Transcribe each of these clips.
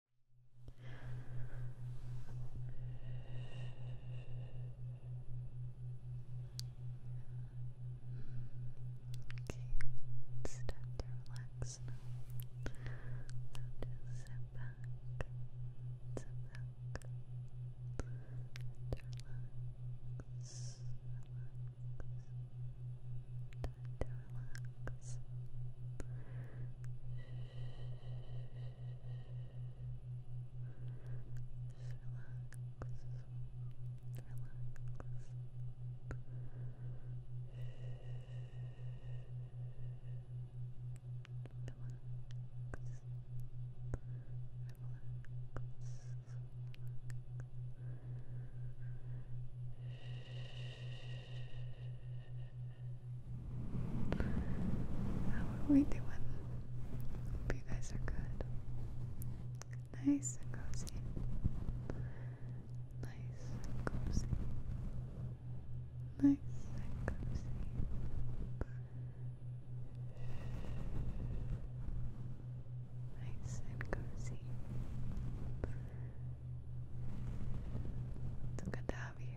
it's time to relax now. So just sit back, sit back, and relax, relax. Time to relax. Just relax. Relax. Relax. Relax. How are we doing? Hope you guys are good. Nice and cozy. Nice and cozy. Nice and cozy. Nice and cozy. Nice and cozy. It's good to have you here.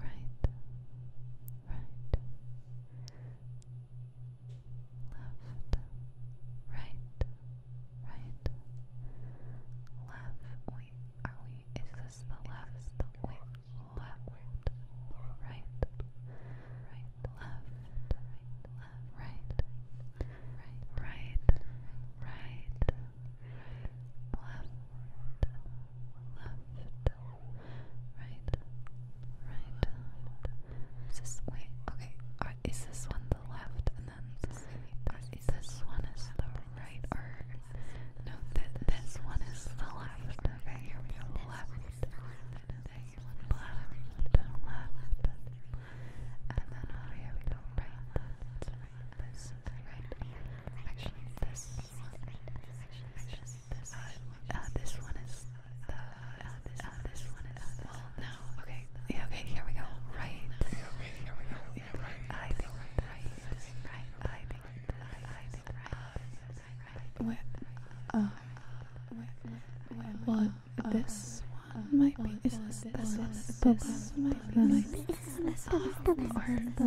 right, right, left, right, right, left. Wait, are we? Is this the left? Is the wait, left, right, right, left, left, right, right, right, right, left. Right, left, right, right. Is this wait? Okay, is this one the left, and then is this one is the right, or no? That this one is the left. Okay, here we go. Left, left, left. And then here we go right. This is right. Actually, this this one is this, one is. no. Okay. Okay. Here we go. Right. Yeah, okay. Here we go. Yeah, right. I think right. Right. I think right. I think right. What? Uh. Well, this one might be. Is this this one? This might be. This one. Or the.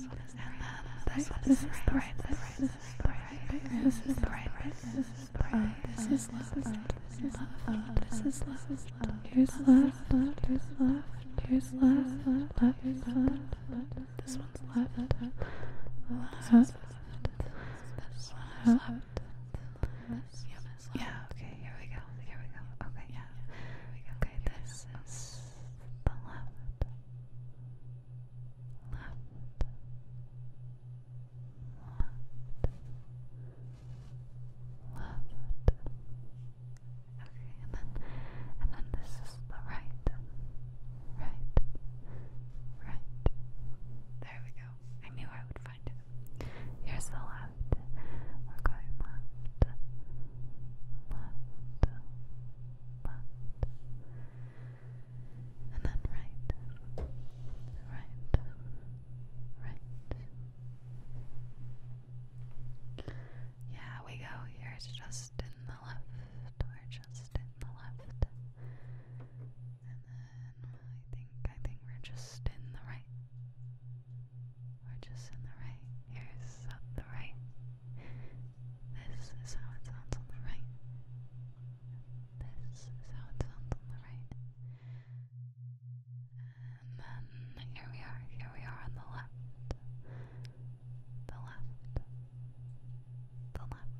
this one is This one is the right. This is the right. This is the right. This is the right. This is left. Uh, uh, this is left. Uh, this is left. Here's left. Here's left. Here's left. Left. Left. This one's left. This one's left. Yeah. Okay. Here we go. Here we go. Okay. Yeah. Okay. This is the left, left, left, left. Okay, and then and then this is the right, right, right. There we go. I knew I would find it. Here's the left. we left, left, left, and then right, right, right. Yeah, we go here. It's just in the left, or just in the left, and then I think I think we're just in the right. We're just in the right. Here's at the right. This is how it sounds on the right. This is how it sounds on the right. And then here we are. Here we are on the left. The left. The left.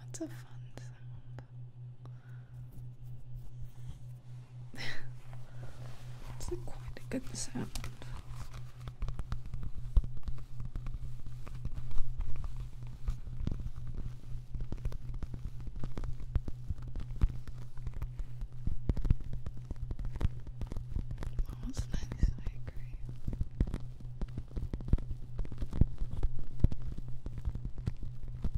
That's a fun sound it's like quite a good sound. That was I agree.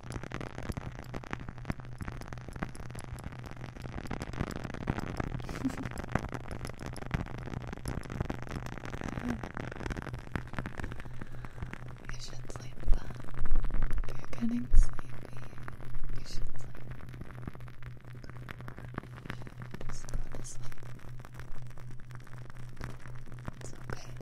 you should sleep then. If you're getting sleepy, you should sleep. You should just go to sleep. It's okay.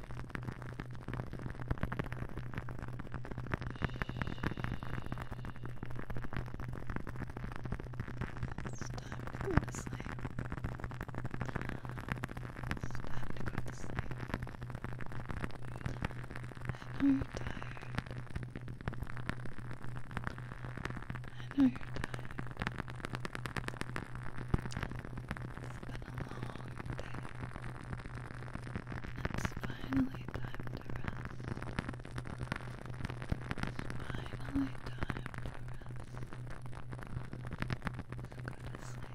It's time to go to sleep. It's time to go to sleep. I know you're tired. I know you're tired. It's been a long day. It's finally time to rest. It's finally time to rest. Go to sleep.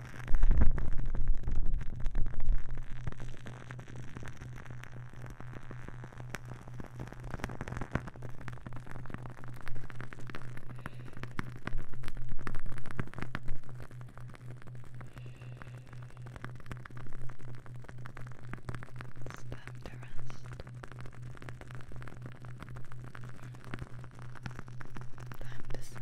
to rest. Time to sleep.